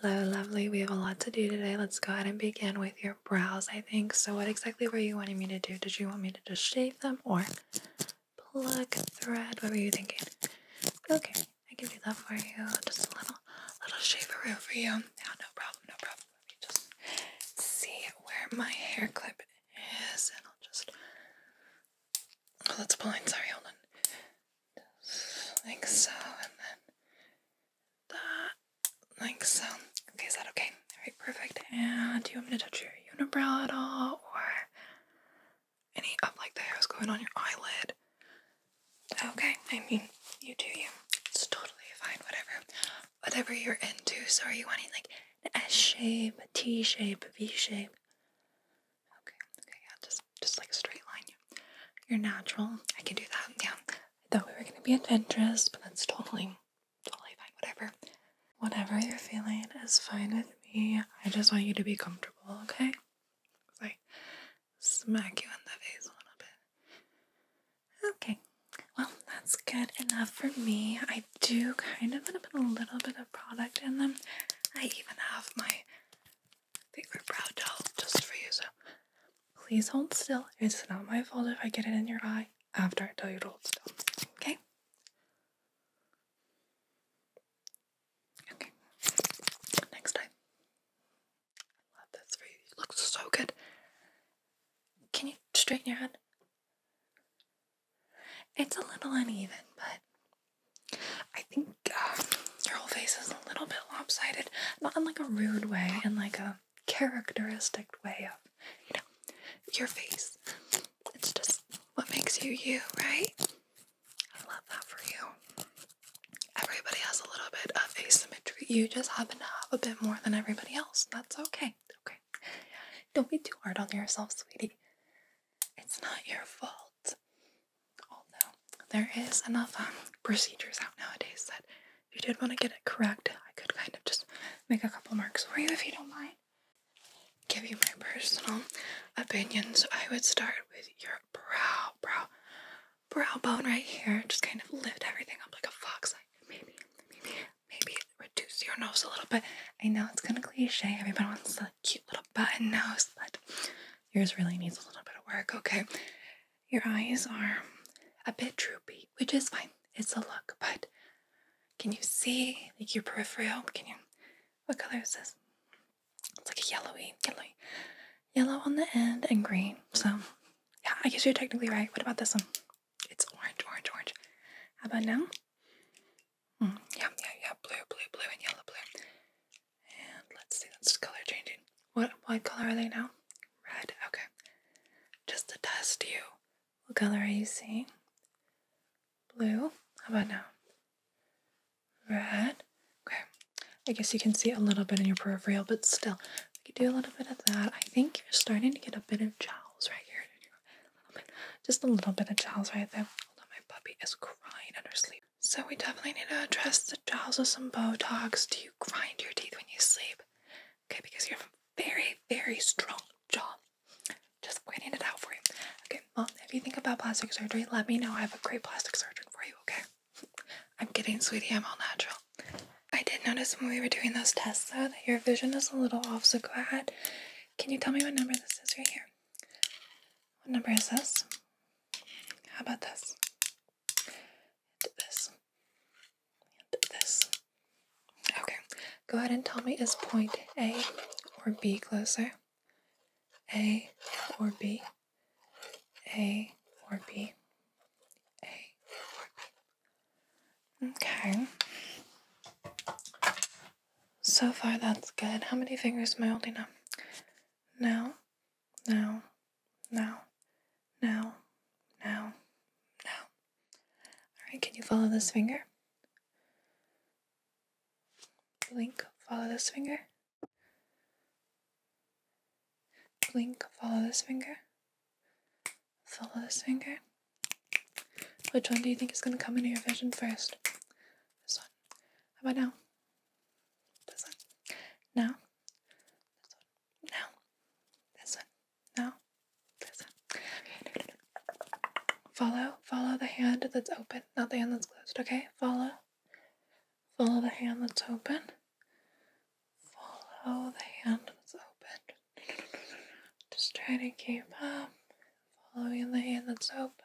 Hello, lovely. We have a lot to do today. Let's go ahead and begin with your brows, I think. So, what exactly were you wanting me to do? Did you want me to just shave them or pluck thread? What were you thinking? Okay, I can do that for you. Just a little, little shaver for you. Yeah, no problem, no problem. Let me just see where my hair clip is, and I'll just. Oh, that's blind. Sorry, hold on like so, and then that, like so. Okay, is that okay? Alright, perfect. And do you want me to touch your unibrow at all, or any of like the hair's going on your eyelid? Okay, I mean, you do you. It's totally fine, whatever. Whatever you're into. So are you wanting like an S shape, T shape, V shape? Okay, okay, yeah, just just like a straight line. You're natural. I can do that. Yeah. I thought we were gonna be adventurous, but that's totally totally fine. Whatever. Whatever you're feeling is fine with me. I just want you to be comfortable, okay? Like smack you in the face a little bit. Okay. Well, that's good enough for me. I do kind of want to put a little bit of product in them. I even have my I think we're proud to help just for you, so please hold still. It's not my fault if I get it in your eye after I tell you to hold still. Okay? Okay. Next time. love this for you. You look so good. Can you straighten your head? It's a little uneven, but I think your um, whole face is a little bit lopsided, not in like a rude way, in like a characteristic way of, you know, your face. It's just what makes you you, right? I love that for you. Everybody has a little bit of asymmetry. You just happen to have a bit more than everybody else. That's okay. Okay. Don't be too hard on yourself, sweetie. It's not your fault. Although there is enough um, procedures out nowadays that if you did want to get it correct, I could kind of just make a couple marks for you if you don't mind. Give you my personal opinions. I would start with your brow, brow, brow bone right here. Just kind of lift everything up like a fox. Like maybe, maybe, maybe reduce your nose a little bit. I know it's kind of cliche. Everyone wants a cute little button nose, but Yours really needs a little bit of work, okay? Your eyes are a bit droopy, which is fine. It's a look, but can you see like your peripheral? Can you? What color is this? It's like a yellowy, yellow on the end and green. So, yeah, I guess you're technically right. What about this one? It's orange, orange, orange. How about now? Hmm, yeah, yeah, yeah. Blue, blue, blue, and yellow, blue. And let's see, that's color changing. What what color are they now? Red. Okay. Just to test you. What color are you seeing? Blue. How about now? Red. Okay. I guess you can see a little bit in your peripheral, but still, we could do a little bit of that. I think you're starting to get a bit of jowls right here. just a little bit of jowls right there. Hold on, my puppy is crying under sleep. So we definitely need to address the jaws with some Botox. Do you grind your teeth when you sleep? Okay, because you have a very, very strong jaw. Just pointing it out for you. Okay, well, if you think about plastic surgery, let me know. I have a great plastic surgeon for you, okay? I'm kidding, sweetie. I'm all natural. I did notice when we were doing those tests, though, that your vision is a little off, so go ahead. Can you tell me what number this is right here? What number is this? How about this? this. this. Okay, go ahead and tell me is point A or B closer? A or B? A or B? A B? Okay. So far, that's good. How many fingers am I holding up? Now, now, now, now, now, now. Alright, can you follow this finger? Blink, follow this finger. Blink, follow this finger. Follow this finger. Which one do you think is going to come into your vision first? This one. How about now? This one. Now. This This one. Now. This one. Follow. Follow the hand that's open, not the hand that's closed, okay? Follow. Follow the hand that's open. Follow the hand that's open. Just try to keep up. Following the hand that's open.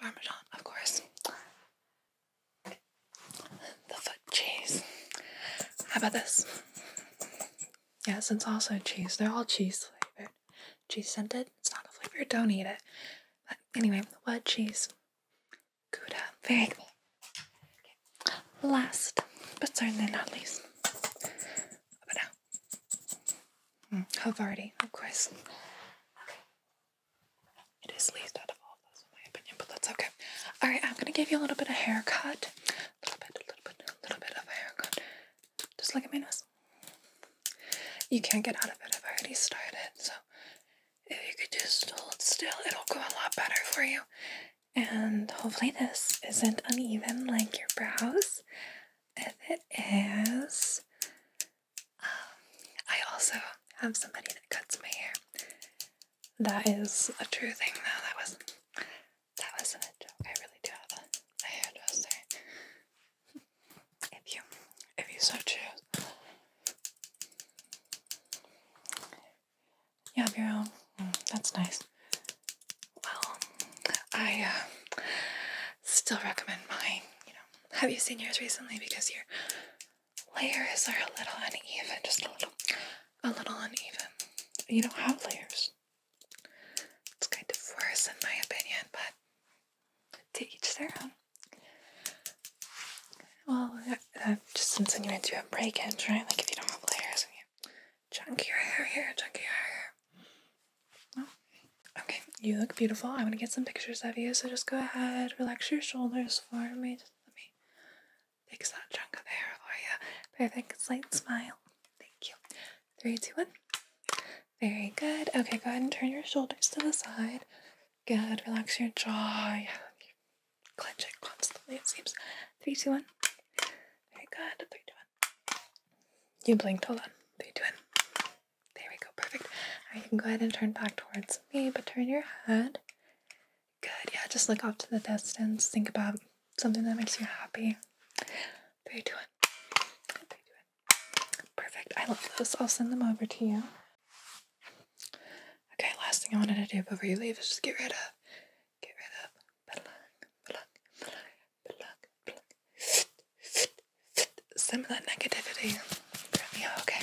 Parmesan, of course. The foot cheese. How about this? Yes, it's also cheese. They're all cheese flavored. Cheese scented? It's not a flavor. Don't eat it. But anyway, what cheese? Gouda. Very cool. Last, but certainly not least. Up Hmm. I've already, of course. It is least out of all those, in my opinion, but that's okay. Alright, I'm gonna give you a little bit of haircut. A little bit, little bit, little bit of a haircut. Just look at my nose. You can't get out of it. I've already started, so if you could just hold still, it'll go a lot better for you. And hopefully, this isn't uneven like your brows and it is. Um, I also have somebody that cuts my hair. That is a true thing, though. That wasn't. That wasn't a joke. I really do have a, hairdresser. If you, if you so choose, you have your own. Mm, that's nice. Well, I uh, still recommend mine. You know, have you seen yours recently? Because your layers are a little uneven, just a little, a little uneven. You don't have layers. It's kind of worse in my opinion, but to each their own. Well, that, that just insinuates you have break-ins, right? Like if you don't have layers and you chunk your hair here, chunk your hair Oh, okay, you look beautiful. i want to get some pictures of you, so just go ahead, relax your shoulders for me. let me fix that chunk of hair for you. Perfect, slight smile. Thank you. Three, two, one. Very good. Okay, go ahead and turn your shoulders to the side. Good. Relax your jaw. you clench it constantly, it seems. Three, two, one. Very good. Three, you blinked, hold on. Three, two, one. There we go, perfect. Alright, you can go ahead and turn back towards me, but turn your head. Good, yeah, just look off to the distance. Think about something that makes you happy. Three, two, one. Three, two, one. Perfect, I love this. I'll send them over to you. Okay, last thing I wanted to do before you leave is just get rid of, get rid of, some of that negativity okay?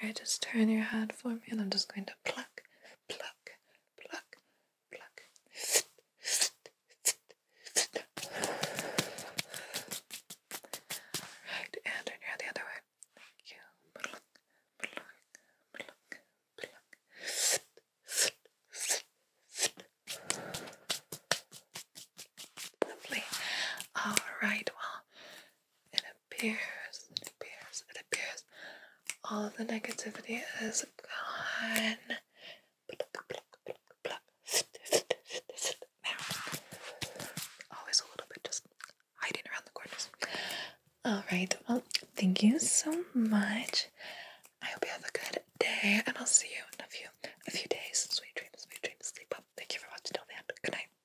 Alright, just turn your head for me and I'm just going to pluck, pluck, pluck, pluck. Right, and turn your head the other way. Thank you. Pluck, pluck, pluck, pluck. Lovely. Alright, well, in a appears, it appears, it appears. All of the negativity is gone. always a little bit just hiding around the corners. All right. Well, thank you so much. I hope you have a good day, and I'll see you in a few a few days. Sweet dreams, sweet dreams. Sleep well. Thank you for watching till the end. Good night.